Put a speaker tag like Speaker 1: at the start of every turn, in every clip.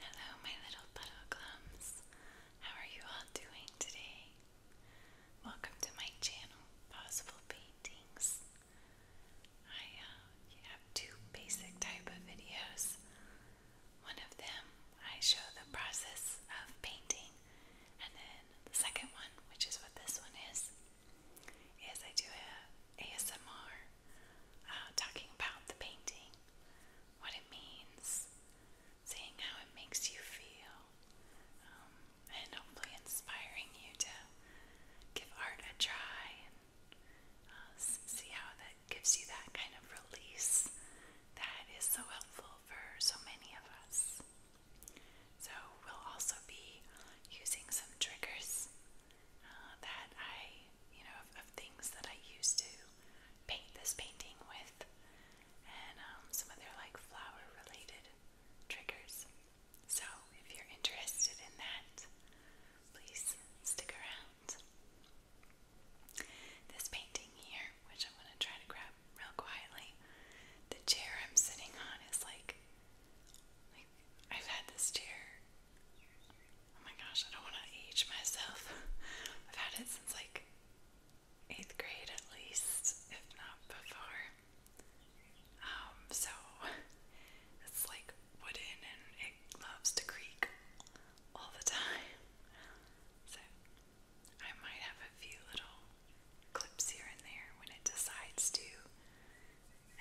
Speaker 1: Hello, my little puddle clumps. How are you all doing today? Welcome to my channel, Possible Paintings. I uh, have two basic type of videos. One of them, I show the process of painting, and then the second one, which is what this one is, is I do a ASMR uh, talking about the painting what it means, seeing how it makes you feel, um, and hopefully inspiring you to give art a try uh, see how that gives you that kind of release that is so helpful for so many of us. So, we'll also be using some triggers uh, that I, you know, of things that I used to paint this painting with, and um, some of their like flower related triggers. So if you're interested in that, please stick around. This painting here, which I'm going to try to grab real quietly, the chair I'm sitting on is like, like I've had this chair Oh my gosh, I don't want to age myself. I've had it since like eighth grade at least, if not before. Um, so it's like wooden and it loves to creak all the time. So I might have a few little clips here and there when it decides to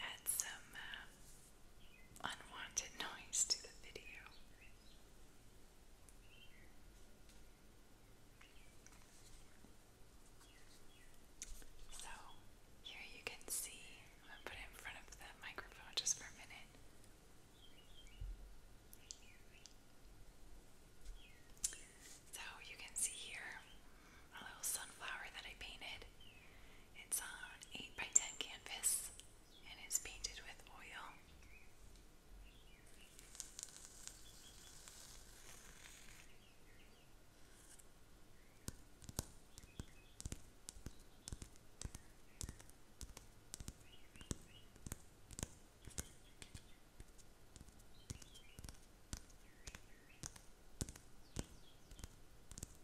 Speaker 1: add some uh, unwanted noise to the video. So, here you can see, I'm going to put it in front of the microphone just for a minute. So, you can see here a little sunflower that I painted. It's on 8 by 10 canvas and it's painted with oil.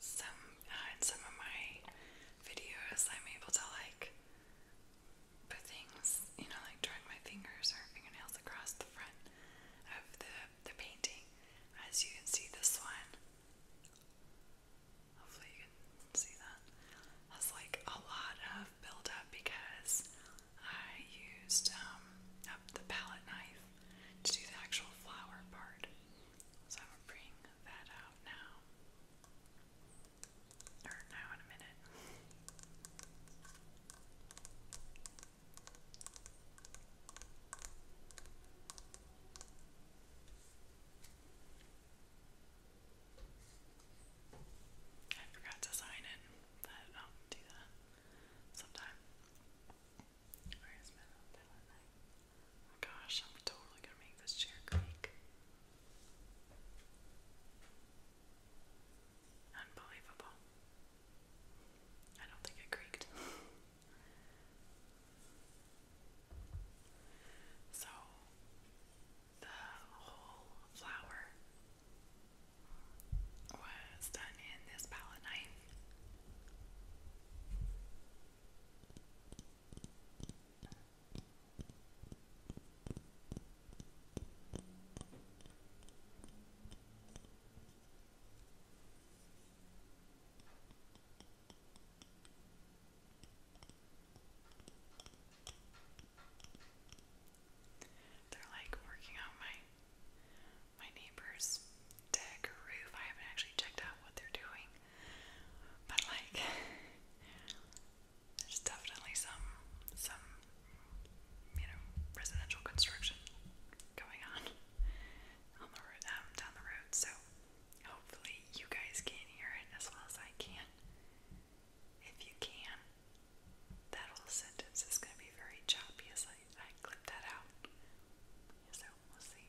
Speaker 1: Some uh, in some of my videos, I'm able to like put things, you know, like join my fingers or fingernails across the front of the the painting as you can see this one. Hopefully you can see that. Has like a lot of buildup because I used um, the palette knife to do the actual flower part. So I'm going that out now. Or now in a minute. I forgot to sign it, but I'll do that sometime. Oh gosh, I'm totally gonna make this chair creak. Unbelievable. I don't think it creaked. so, the whole flower was done in this palette knife. They're like working on my my neighbor's deck or roof. I haven't actually checked out what they're doing. But like there's definitely some some you know, residential construction going on on the um, down the road. So hopefully you guys can hear it as well as I can. If you can, that whole sentence is going to be very choppy as I, I clip that out. So we'll see.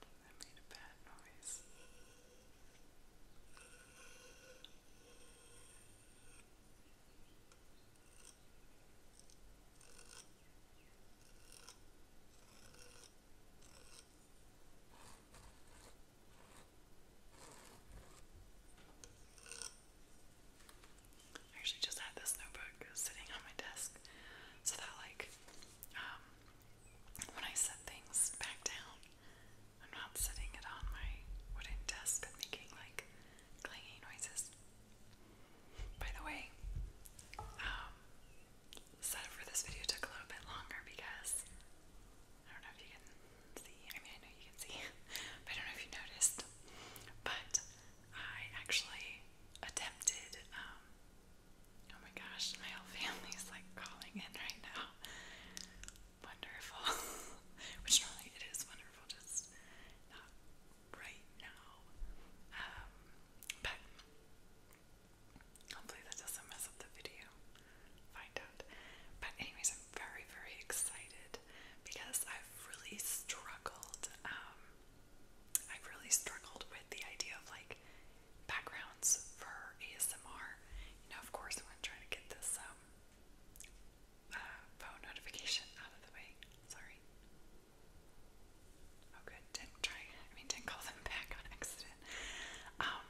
Speaker 1: That made a bad noise. I actually just had this notebook sitting on my desk so that like um, when I set things back down, I'm not setting it on my wooden desk, but making like clanging noises. By the way, um, setup for this video took a little bit longer because I don't know if you can see. I mean, I know you can see, but I don't know if you noticed. But I actually attempted um, Oh my gosh, my whole family's like calling in right now. Wonderful. Which normally it is wonderful, just not right now. Um, but hopefully that doesn't mess up the video. Find But anyways, I'm very, very excited because I've really struggled, um, I've really struggled with the idea of like backgrounds for ASMR. You know, of course, I'm going to try to get this um, uh, phone notification out of the way. Sorry. Oh, good. Didn't try. I mean, didn't call them back on accident. Um,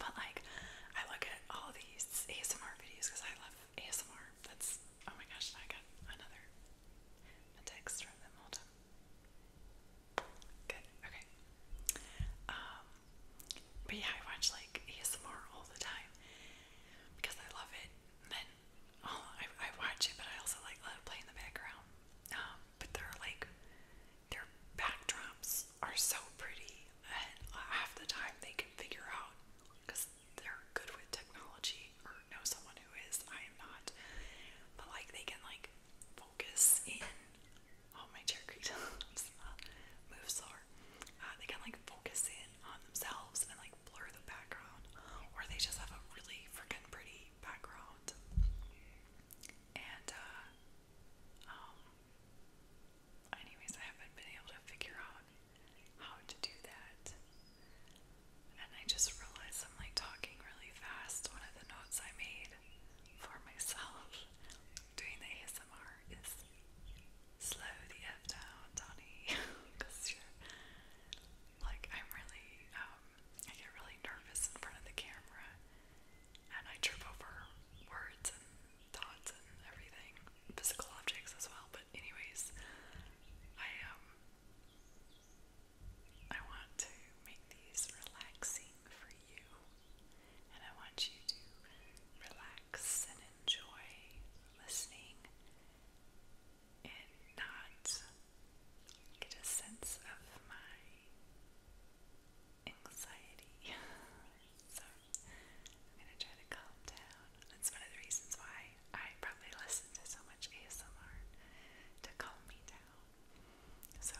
Speaker 1: but like, I look at all these ASMR videos because I love ASMR. That's oh my gosh! I got another text from them. Hold Good, okay. Um, but yeah, I watch like ASMR all the time because I love it. And oh, I, I watch it, but I also like let it the background. Um, but they like their backdrops are so pretty, and half the time they can figure out because they're good with technology or know someone who is. I am not, but like they can like focus in. Oh, my chair creaked. Moves are. Uh, they can like focus in on themselves and like blur the background, or they just have a really freaking pretty background. And, uh, um, anyways, I haven't been able to figure out how to do that. And I just realized I'm like talking really fast. One of the notes I made for myself doing the ASMR is slow the F down, Donnie. Because like, I'm really, um, I get really nervous in front of the camera and I trip over words and thoughts and everything, physical objects as well. But, anyways, I, um, I want to make these relaxing for you, and I want you to relax and enjoy listening and not get a sense of my anxiety. so I'm going to try to calm down. That's one of the reasons why I probably listen to so much ASMR to calm me down. So,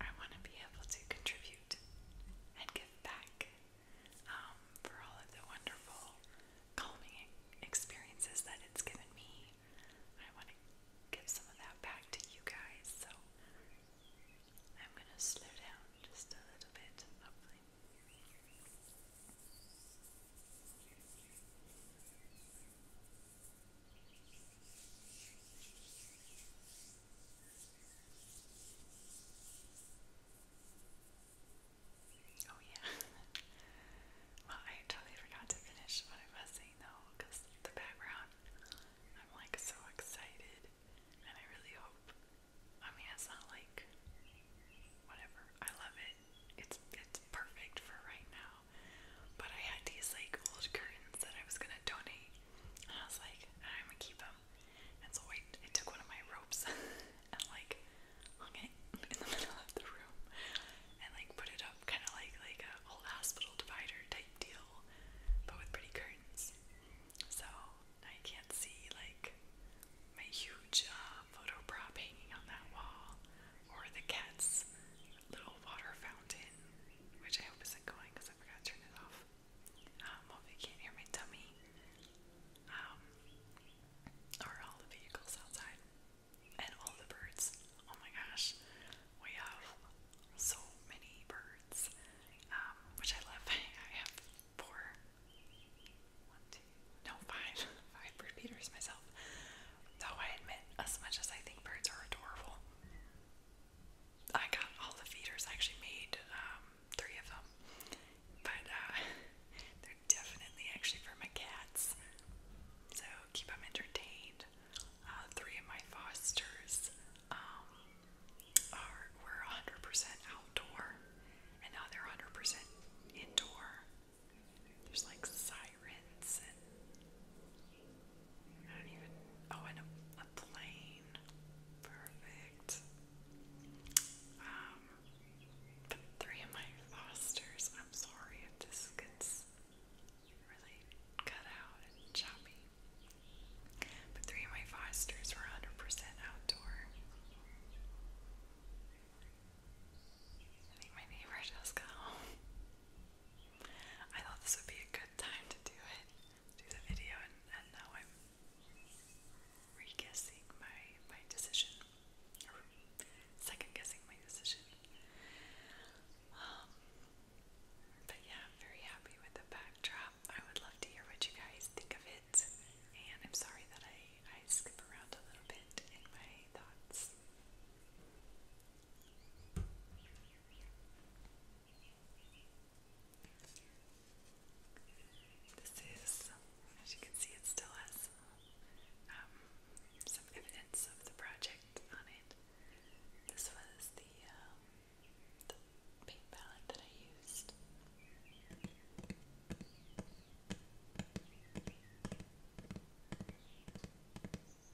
Speaker 1: I want to be able to contribute and give back um, for all of the wonderful, calming experiences that it's given me. I want to give some of that back to you guys, so I'm going to slow down just a little bit, Oh, yeah. well, I totally forgot to finish what I was saying though, because the background, I'm like so excited, and I really hope. I mean, it's not like whatever. I love it. It's it's perfect for right now. But I had these like old curtains that I was gonna donate, and I was like, I'm gonna keep them. And so wait, I took one of my ropes and like hung it in the middle of the room and like put it up kind of like like a old hospital divider type deal, but with pretty curtains. So I can't see like my huge uh, photo prop hanging on that wall, or the cat's little water fountain, which I hope isn't going because I forgot to turn it off. Um, hopefully, you can't hear my tummy. Um, or all the vehicles outside and all the birds. Oh my gosh, we have so many birds, um, which I love. I have four, one, two, no, five, five bird feeders myself. Though I admit, as much as I think birds are adorable, I got all the feeders. I actually made um, three of them, but uh, they're definitely actually for my cats. So keep them entertained. Uh, three of my fosters um, are were 100% outdoor, and now they're 100% indoor. There's like sirens and I don't even oh and a, plane. Perfect. Um three of my fosters, I'm sorry if this gets really cut out and choppy. But three of my fosters were 100% outdoor. I think my neighbor just got home. I thought this would be a good time to do it, do the video, and, and now I'm re my, my decision, second-guessing my decision. Um, but yeah, very happy with the backdrop. I would love to hear what you guys think of it, and I'm sorry that I, I skip around a little bit in my thoughts. This is, as you can see, it still has um, some evidence of the project on it. This was the um, paint palette that I used. It's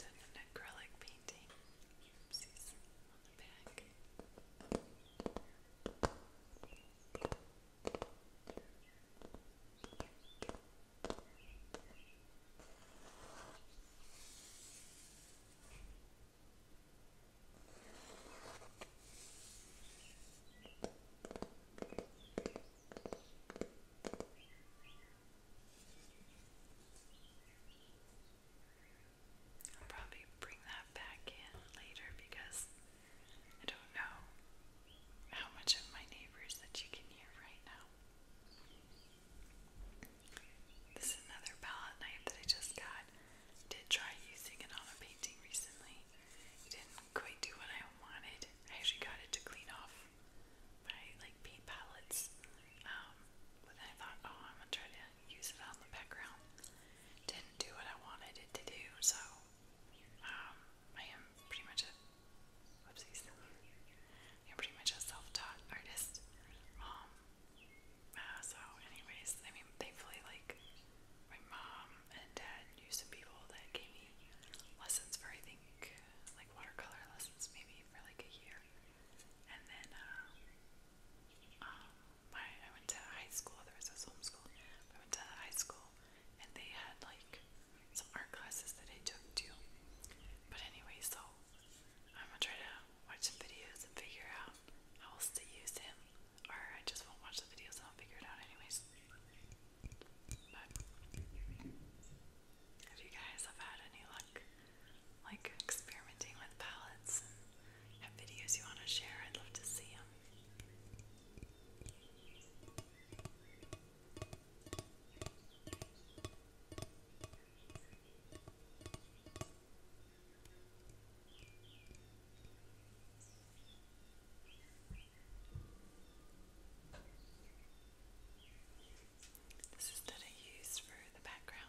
Speaker 1: an acrylic painting oopsies on the back. All I'll probably bring that back in later because I don't know how much of my neighbors that you can hear right now. This is another palette knife that I just got. I did try using it on a painting recently. It didn't quite do what I wanted. I actually got it to clean off right? Like paint palettes. Um, but I thought, oh, I'm gonna try to use it on the background. Didn't do what I wanted it to do, so um, I am pretty much a whoopsies. I'm pretty much a self-taught artist. Um, uh, so, anyways, I mean, thankfully, like my mom and dad knew some people that gave me lessons for I think like watercolor lessons, maybe for like a year. And then, uh, um, um, my, I went to high school, there was this homeschool, I went to high school, and they had, like, some art classes that I took, too. But anyway, so, I'm gonna try to watch some videos and figure out how else to use him, or I just won't watch the videos and I'll figure it out anyways. But, if you guys have had any luck like experimenting with palettes and have videos you want to share, I'd love to see them. This is that I use for the background.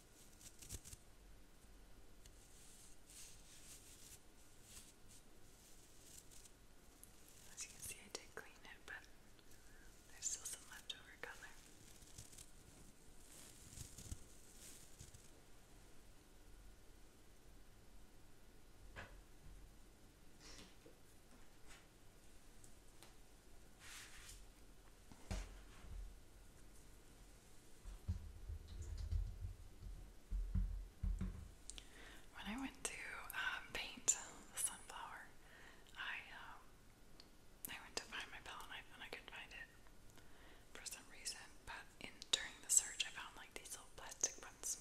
Speaker 1: As you can see, I did clean it, but there's still some leftover color. When I went to um, paint the sunflower, I um, I went to find my palette knife and I couldn't find it for some reason. But in during the search, I found like these little plastic ones.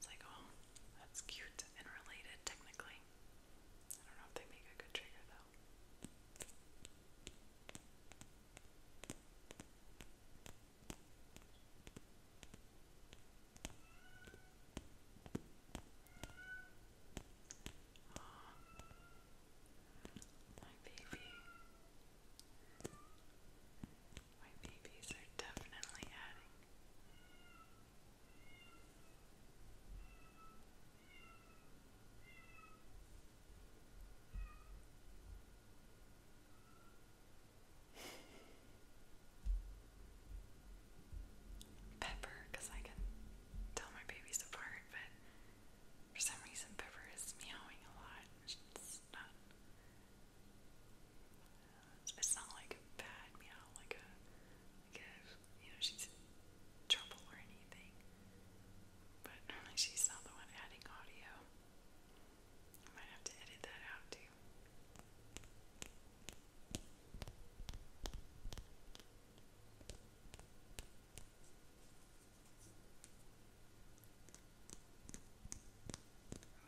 Speaker 1: It's like, oh, that's cute and related technically. I don't know if they make a good trigger though. my baby. My babies are definitely adding. Pepper, because I can tell my babies apart, but for some reason Pepper is meowing a lot. It's not. It's not like a bad meow, like a like a you know, she's trouble or anything. But she's not the one adding audio. I might have to edit that out too.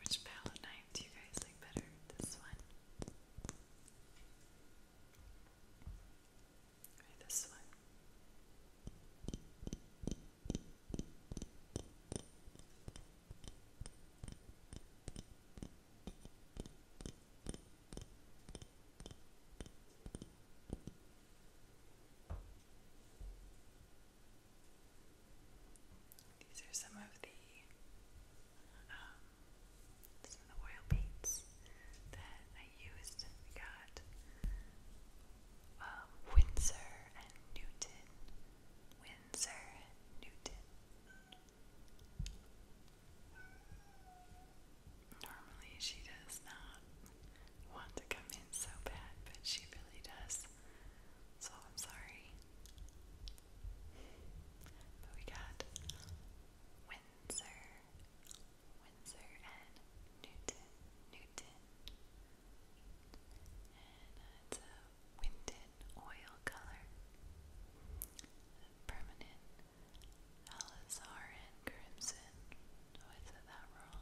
Speaker 1: Which palette knife do you guys like better? This one? this one. These are some of the um, some of the oil paints that I used. I got um, Windsor and Newton. Windsor and Newton. Normally she does not want to come in so bad, but she really does. So I'm sorry. But we got Windsor Windsor and Newton, Newton. And uh, oil color. Permanent Alizarin Crimson. Oh, I that wrong.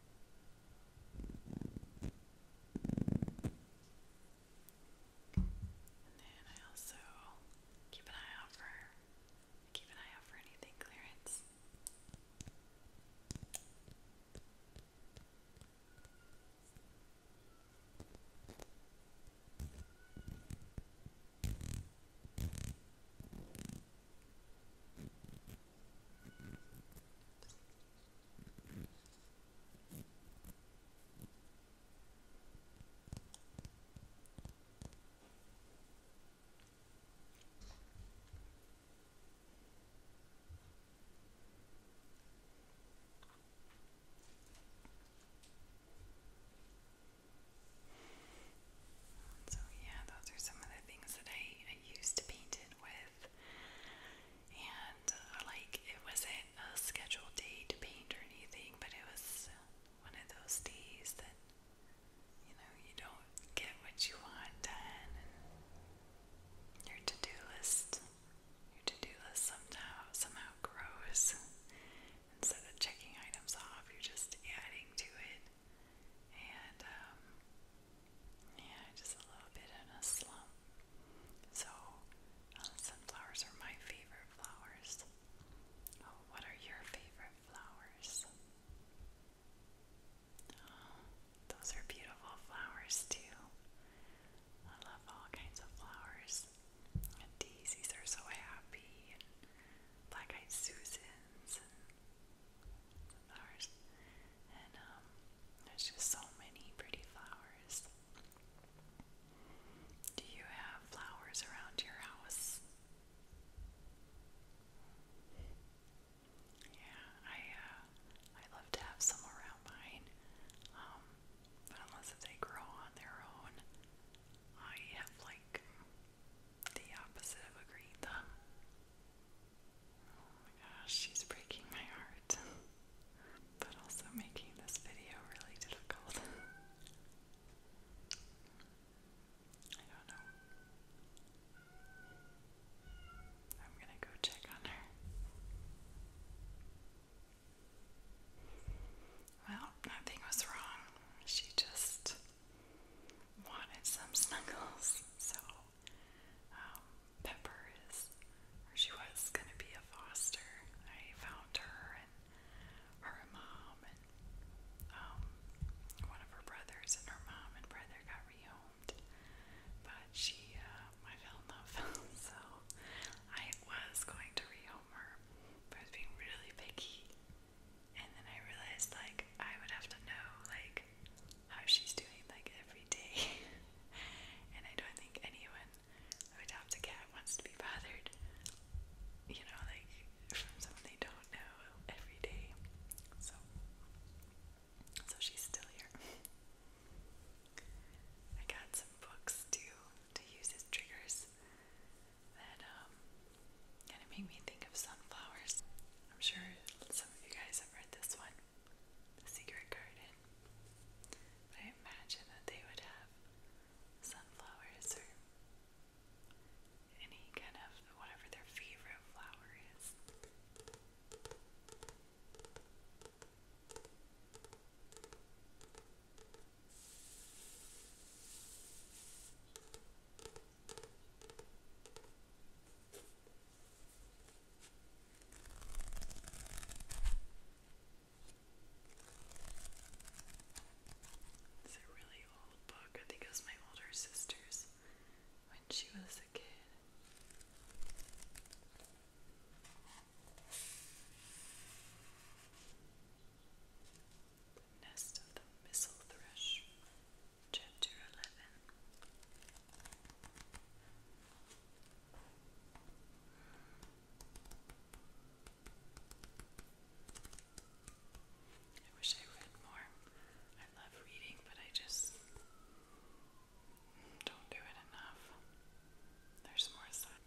Speaker 1: And then I also keep an eye out for keep an eye out for anything clearance. So yeah, those are some of the things that I, I used to paint it with with. And uh, like it wasn't a scheduled day to paint or anything, but it was one of those days that you know you don't get what you want done. And your to-do list, your to-do list somehow somehow grows. Instead of checking items off, you're just adding to it and um, yeah, just a little bit in a slump. So uh, sunflowers are my favorite flowers. Oh, what are your favorite flowers? Oh, those are beautiful flowers too. I love all kinds of flowers. daisies are so happy, black-eyed Susans, flowers and um, there's just so many pretty flowers. Do you have flowers around your house? Yeah, I uh, I love to have some around mine, um, but unless they grow on their own, I have like the opposite of a green thumb. Oh my gosh, she's breaking my heart, but also making this video really difficult. I don't know. I'm gonna go check on her. Well, nothing was wrong. She just wanted some snuggles, so um, Pepper is, she was going to be a foster. I found her and her mom and um, one of her brothers and her mom and brother got rehomed. But she, uh, I fell in love, so I was going to rehome her, I was being really picky. And then I realized, like, I would have to know, like, how she's doing like every day. and I don't think anyone who adopts a cat wants to be bothered, you know, like from someone they don't know every day. So, so she's still here. I got some books too to use as triggers that um kind of make me think of sunflowers. I'm sure some of you guys have read this one the secret garden. I imagine that they would have sunflowers or any kind of whatever their favorite flower is. It's a really old book. I think it was my older sister's when she was a kid. nest of the mistle thrush. Chapter 11 I wish I read more. I love reading, but I just don't do it enough. There's more stuff.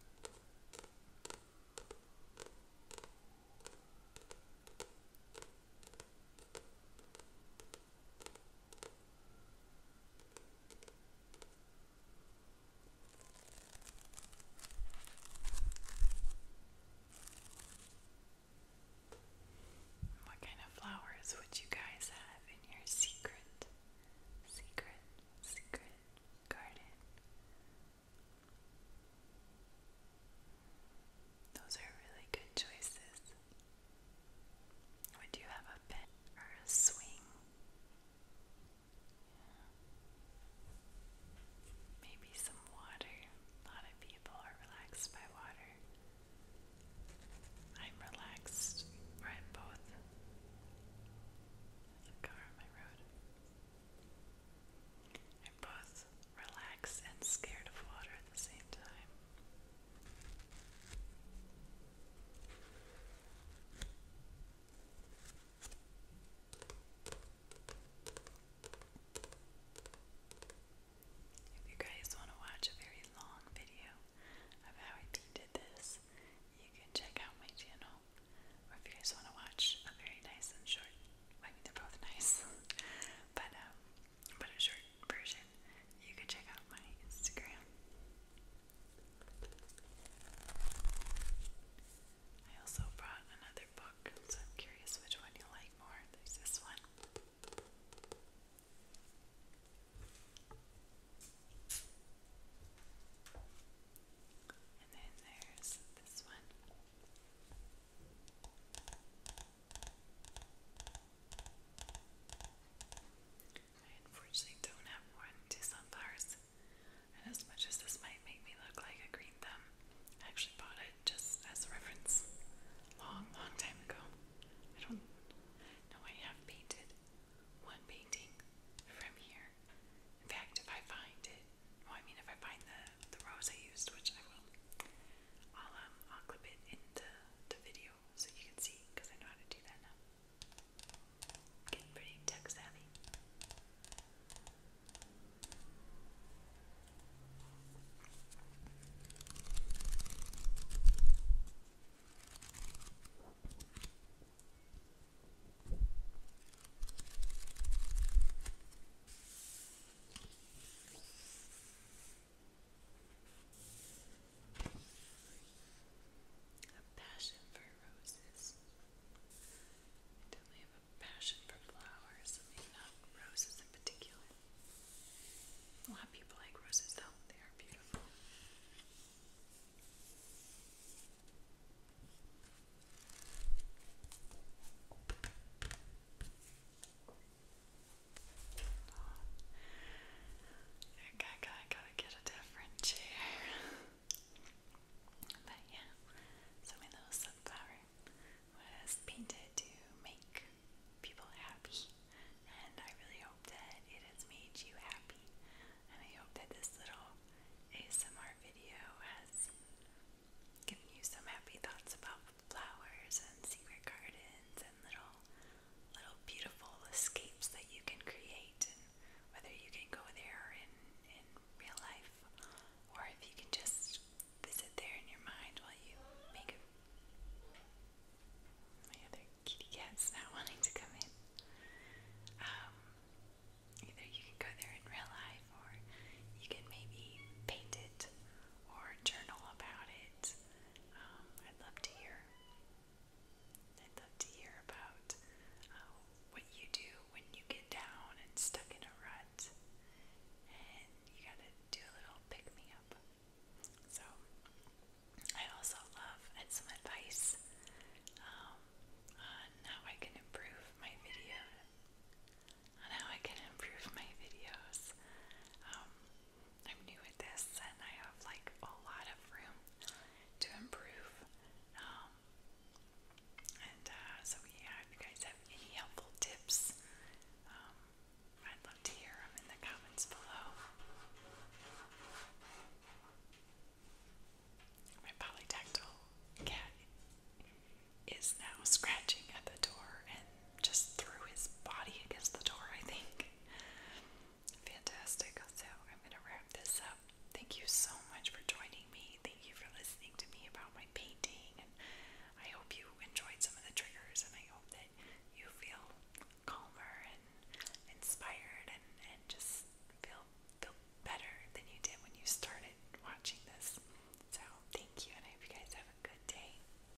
Speaker 1: What kind of flowers would you guys have in your secret, secret, secret garden? Those are really good choices. Would you have a bed or a swing? Maybe some water. A lot of people are relaxed by water. I'm relaxed by both. There's a car on my road. I'm both relaxed and scared of water at the same time. If you guys want to watch a very long video of how I painted this, you can check out my channel. Or if you guys want to watch a very nice and short, I mean they're both nice, but um, but a short version, you can check out my Instagram. I also brought another book, so I'm curious which one you like more. There's this one. And then there's this one. I unfortunately don't have one to sunflowers, and as much as this might make me look like a green thumb, I actually bought it just as a reference long, long time ago. I don't know I have painted one painting from here. In fact, if I find it, well, I mean, if I find the the rose I used, which I will, I'll um, clip it in the the video you so you can see because I know how to do that now. Getting pretty tech savvy. Okay. A passion for roses. I definitely have a passion for flowers. I not roses in particular. A lot of people like roses, though. They are beautiful. Okay, I gotta, gotta get a different chair. but yeah, so my little sunflower was painted to make people happy, and I really hope that it has made you happy. And I hope that this little ASMR video has given you some happy thoughts about flowers and secret gardens and little little beautiful escapes that you can create whether you can go there in in real life or if you can just visit there in your mind while you make a my other kitty cat's not wanting to come in. Um, either you can go there in real life or you can maybe paint it or journal about it um, I'd love to hear. I'd love to hear about uh, what you do when you get down and stuck in a rut, and you gotta do a little pick me up. So, I also love and some advice um, on how I can improve my video, on how I can improve my videos. Um, I'm new at this and I have like a lot of room to improve. Um, and uh, so, yeah, if you guys have any helpful tips, um, I'd love to hear them in the comments below. My polytactile cat is now scratching at the door and just threw his body against the door, I think. Fantastic. So I'm going to wrap this up. Thank you so much for joining me. Thank you for listening to me about my painting. And I hope you enjoyed some of the triggers, and I hope that you feel calmer and inspired and, and just feel feel better than you did when you started watching this. So thank you, and I hope you guys have a good day.